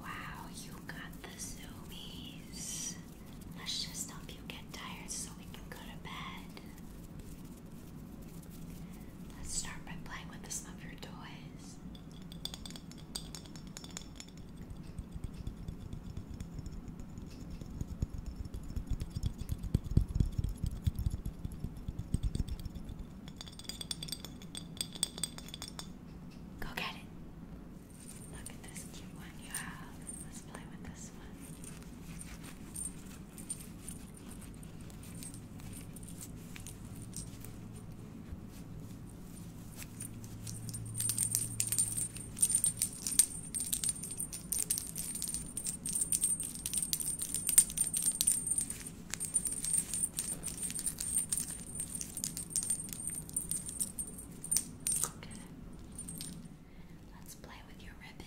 Wow, you got the zoomies. Let's just help you get tired so we can go to bed. Let's start by playing with some of your toys. Go get it. Look at this cute one you have. Let's play with this one. Okay. Let's play with your ribbon.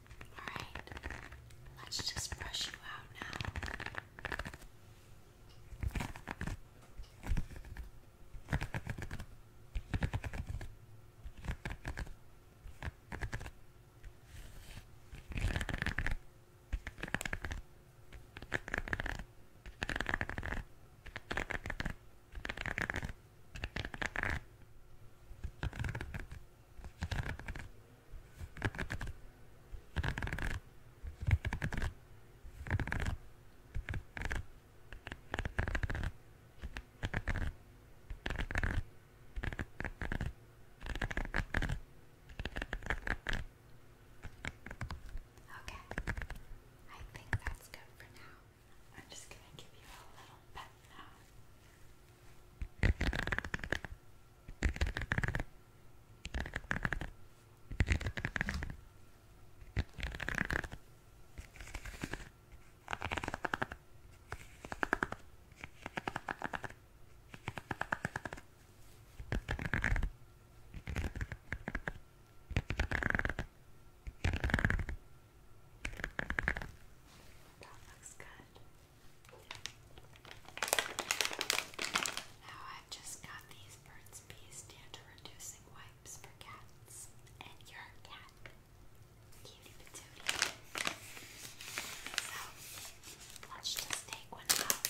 Alright, let's just brush you out now. Okay, I think that's good for now. I'm just gonna give you a little pet now. That looks good. Now I've just got these Burt's Bees dandruff reducing wipes for cats. And your cat. Cutie patootie. So, let's just take one out.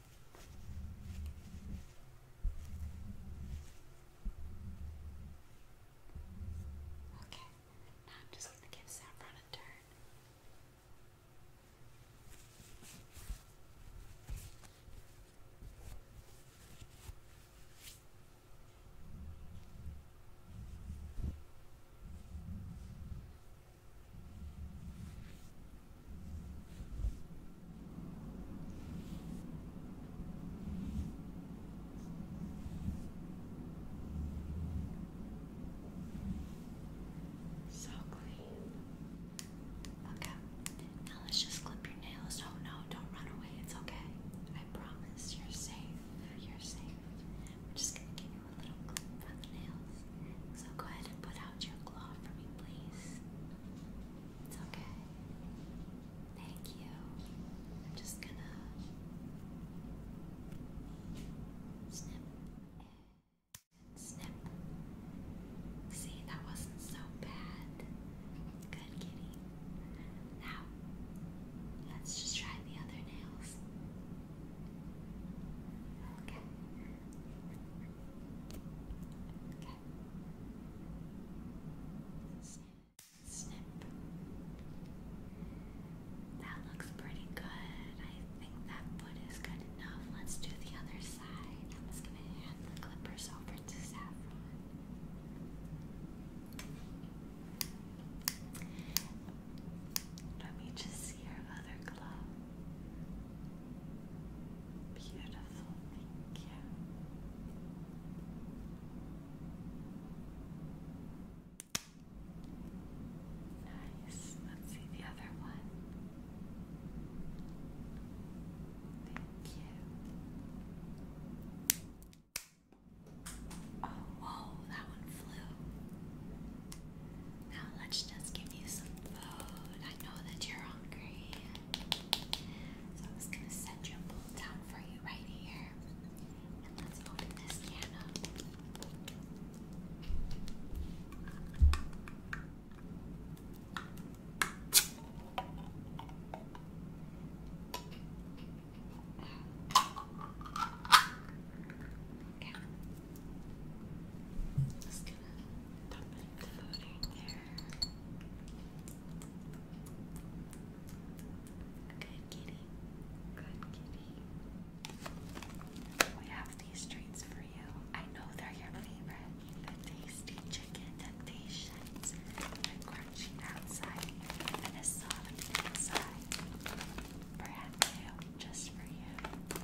Okay, now I'm just going to give Saffron a turn. So clean. Okay. Now let's just clip your nails. Oh no, don't run away. It's okay. I promise. You're safe. You're safe. We're just gonna keep a little clip for the nails. So go ahead and put out your claw for me, please. It's okay. Thank you. I'm just gonna snip snip. See, that wasn't so bad. Good kitty. Now, let's just try the other nails. Okay. Okay. Snip, snip. That looks pretty good. I think that foot is good enough. Let's do the other side. I'm just gonna hand the clippers over to Saffron. Let me just see other glove. Beautiful, thank you. Nice. Let's see the other one. Thank you. Oh, whoa, that one flew. Now let's just give you some food. I know that you're hungry. So I'm just gonna set your bowl down for you right here. And let's open this can up. Okay. I'm just gonna the food there. Good kitty. Good kitty. We have these treats for you. I know they're your favorite. The tasty chicken temptations. The crunchy outside and the soft inside. Brand new just for you.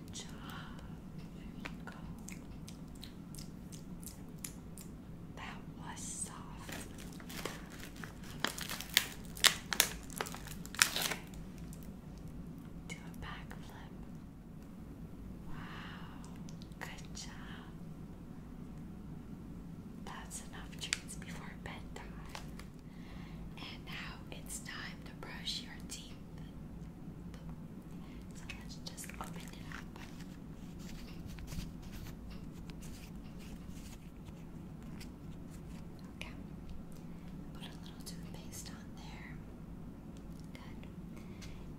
Good job. That was soft. Do a backflip. Wow. Good job. That's enough treats before bedtime. And now it's time to brush your teeth. So let's just open it up. Okay. Put a little toothpaste on there. Good.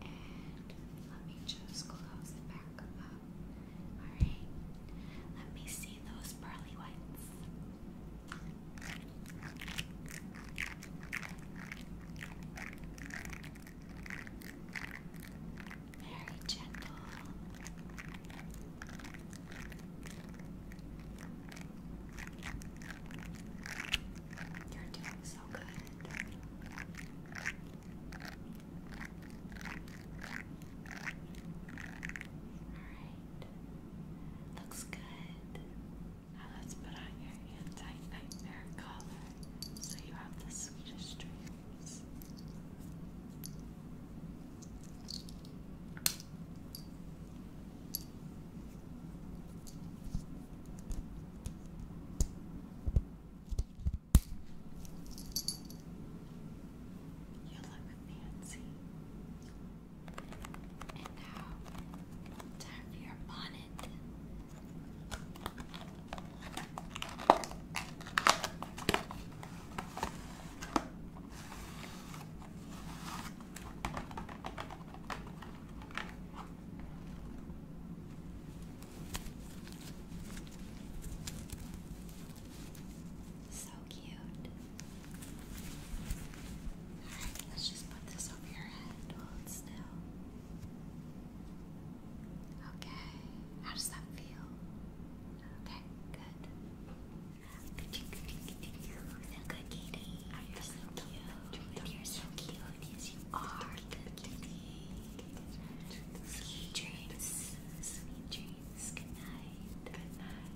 And let me just close it back up. Alright. Let me see those pearly whites. Very gentle. You're doing so good. Alright. Looks good. Now let's put on your anti-nightmare collar so you have the sweetest dreams. You look fancy. And now, time for your bonnet. So cute. Alright, let's just put this Okay. How does that feel? Okay, good. You feel good, Katie. you're so cute. You're so cute. Yes, you are good, Katie. Sweet dreams. Sweet dreams. Good night. Good night.